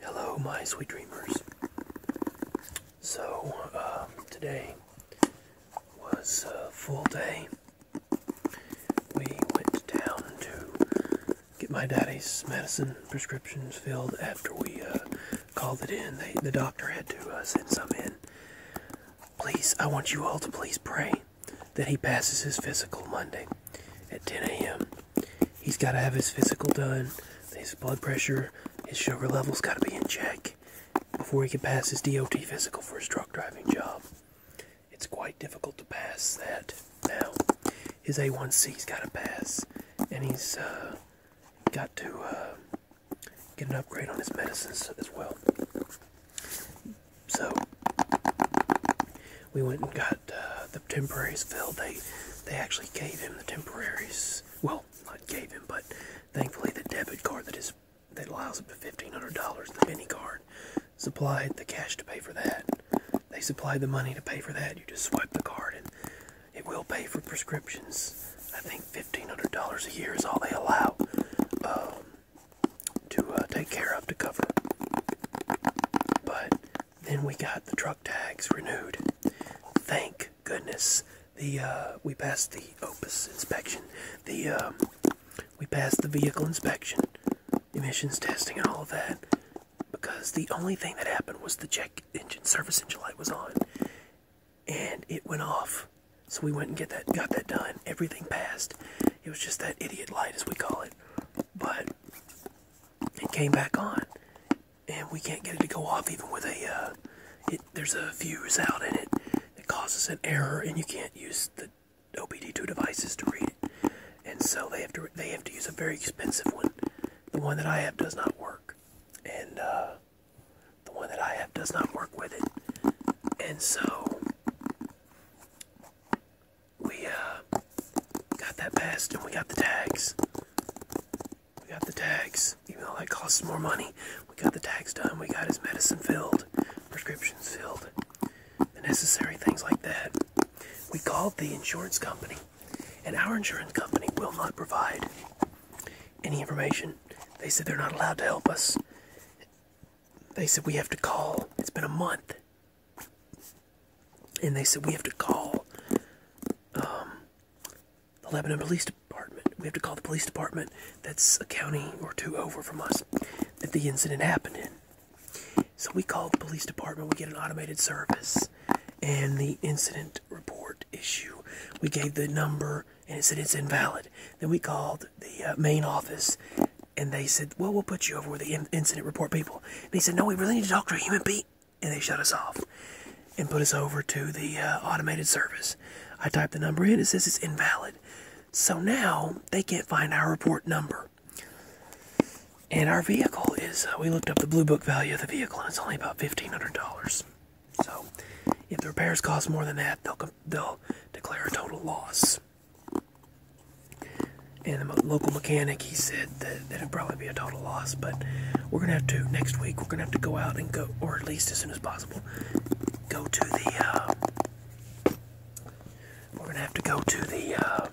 Hello, my sweet dreamers. So, um, today was a full day. We went down to get my daddy's medicine prescriptions filled after we uh, called it in. the doctor had to uh, send some in. Please, I want you all to please pray that he passes his physical Monday at 10 a.m he's got to have his physical done, his blood pressure, his sugar levels got to be in check before he can pass his DOT physical for his truck driving job. It's quite difficult to pass that now. His A1C's got to pass, and he's uh, got to uh, get an upgrade on his medicines as well. So, we went and got uh, the temporaries filled. They they actually gave him the temporaries. Well, not gave him, but thankfully the debit card that is that allows up to fifteen hundred dollars, the penny card, supplied the cash to pay for that. They supplied the money to pay for that. You just swipe the card and it will pay for prescriptions. I think fifteen hundred dollars a year is all they allow. Um, to uh, take care of to cover. But then we got the truck tags renewed. Thank goodness the uh, we passed the Opus inspection. The um, we passed the vehicle inspection, emissions testing, and all that. Because the only thing that happened was the check engine service engine light was on, and it went off. So we went and get that got that done. Everything passed. It was just that idiot light, as we call it but it came back on, and we can't get it to go off even with a. Uh, there's a fuse out in it that causes an error, and you can't use the OBD2 devices to read it, and so they have to they have to use a very expensive one. The one that I have does not work, and uh, the one that I have does not work with it, and so we uh, got that passed and we got the tags. We got the tags, You know, that costs more money. We got the tags done. We got his medicine filled, prescriptions filled, the necessary things like that. We called the insurance company, and our insurance company will not provide any information. They said they're not allowed to help us. They said, We have to call. It's been a month. And they said, We have to call um, the Lebanon Police Department. We have to call the police department that's a county or two over from us that the incident happened in. So we call the police department, we get an automated service, and the incident report issue. We gave the number and it said it's invalid. Then we called the uh, main office and they said, Well, we'll put you over with the incident report people. And he said, No, we really need to talk to a human being. And they shut us off and put us over to the uh, automated service. I typed the number in, it says it's invalid. So now they can't find our report number. And our vehicle is, uh, we looked up the blue book value of the vehicle and it's only about $1,500. So if the repairs cost more than that, they'll they'll declare a total loss. And the local mechanic, he said that, that it'd probably be a total loss, but we're gonna have to next week. We're gonna have to go out and go, or at least as soon as possible, go to the. Uh, we're gonna have to go to the uh,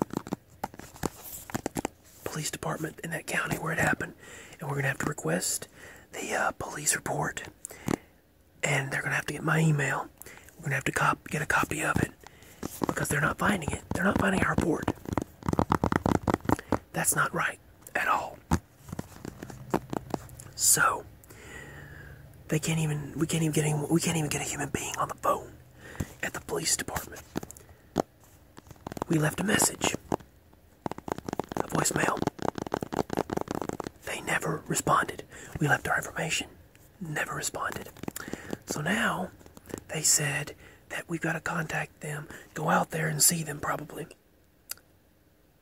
police department in that county where it happened, and we're gonna have to request the uh, police report and they're gonna have to get my email. We're gonna have to cop get a copy of it because they're not finding it. They're not finding our report. That's not right at all. So they can't even we can't even get we can't even get a human being on the phone at the police department. We left a message a voicemail. They never responded. We left our information, never responded. So now they said that we've got to contact them, go out there and see them probably.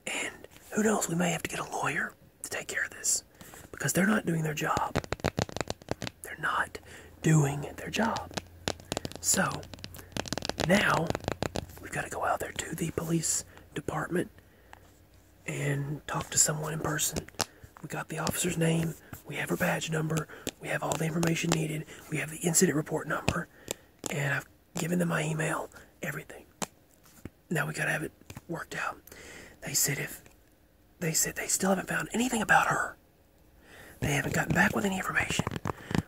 And who knows, we may have to get a lawyer to take care of this because they're not doing their job. They're not doing their job. So now we've got to go out there to the police department and talk to someone in person. We got the officer's name, we have her badge number, we have all the information needed, we have the incident report number, and I've given them my email, everything. Now we gotta have it worked out. They said if they said they still haven't found anything about her. They haven't gotten back with any information.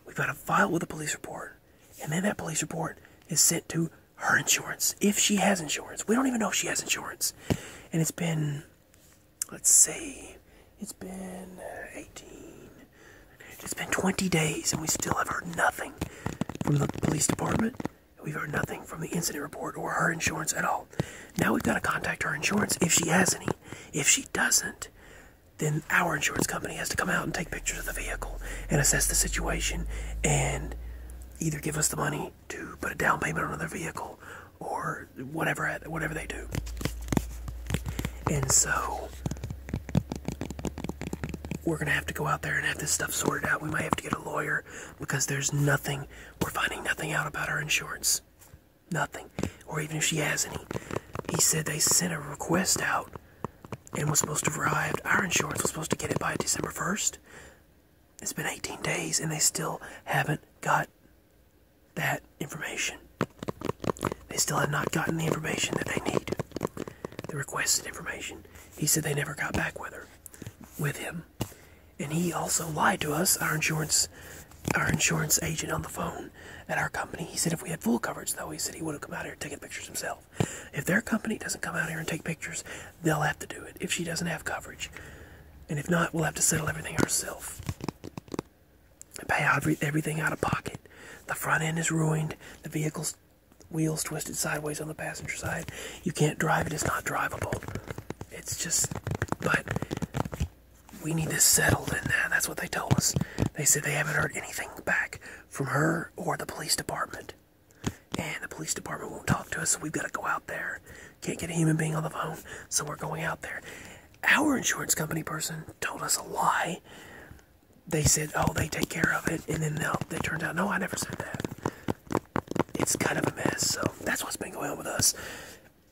We've got a file with a police report, and then that police report is sent to her insurance if she has insurance. We don't even know if she has insurance. And it's been, let's see, it's been uh, 18, it's been 20 days, and we still have heard nothing from the police department. We've heard nothing from the incident report or her insurance at all. Now we've got to contact her insurance if she has any. If she doesn't, then our insurance company has to come out and take pictures of the vehicle and assess the situation and either give us the money to put a down payment on another vehicle or whatever whatever they do. And so we're gonna have to go out there and have this stuff sorted out. We might have to get a lawyer because there's nothing we're finding nothing out about our insurance nothing, or even if she has any. He said they sent a request out and was supposed to arrive. Our insurance was supposed to get it by December 1st. It's been 18 days and they still haven't got that information. They still have not gotten the information that they need. The requested information. He said they never got back with her, with him and he also lied to us, our insurance our insurance agent on the phone at our company. He said if we had full coverage though, he said he would have come out here taking pictures himself. If their company doesn't come out here and take pictures, they'll have to do it if she doesn't have coverage. And if not, we'll have to settle everything ourselves. Pay out everything out of pocket. The front end is ruined. The vehicle's wheels twisted sideways on the passenger side. You can't drive it. It's not drivable. It's just, but we need this settled and That's what they told us. They said they haven't heard anything back from her or the police department. And the police department won't talk to us, so we've got to go out there. Can't get a human being on the phone, so we're going out there. Our insurance company person told us a lie. They said, oh, they take care of it, and then they they turned out, no, I never said that it's kind of a mess. So that's what's been going on with us.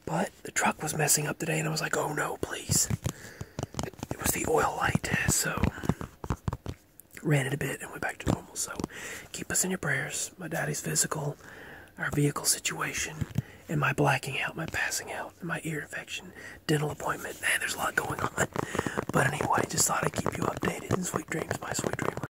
But the truck was messing up today, and I was like, oh no, please. It was the oil light, so ran it a bit and went back to normal. So keep us in your prayers. My daddy's physical, our vehicle situation, and my blacking out, my passing out, my ear infection, dental appointment. Man, there's a lot going on. But anyway, just thought I'd keep you updated. And sweet dreams, my sweet dreamer.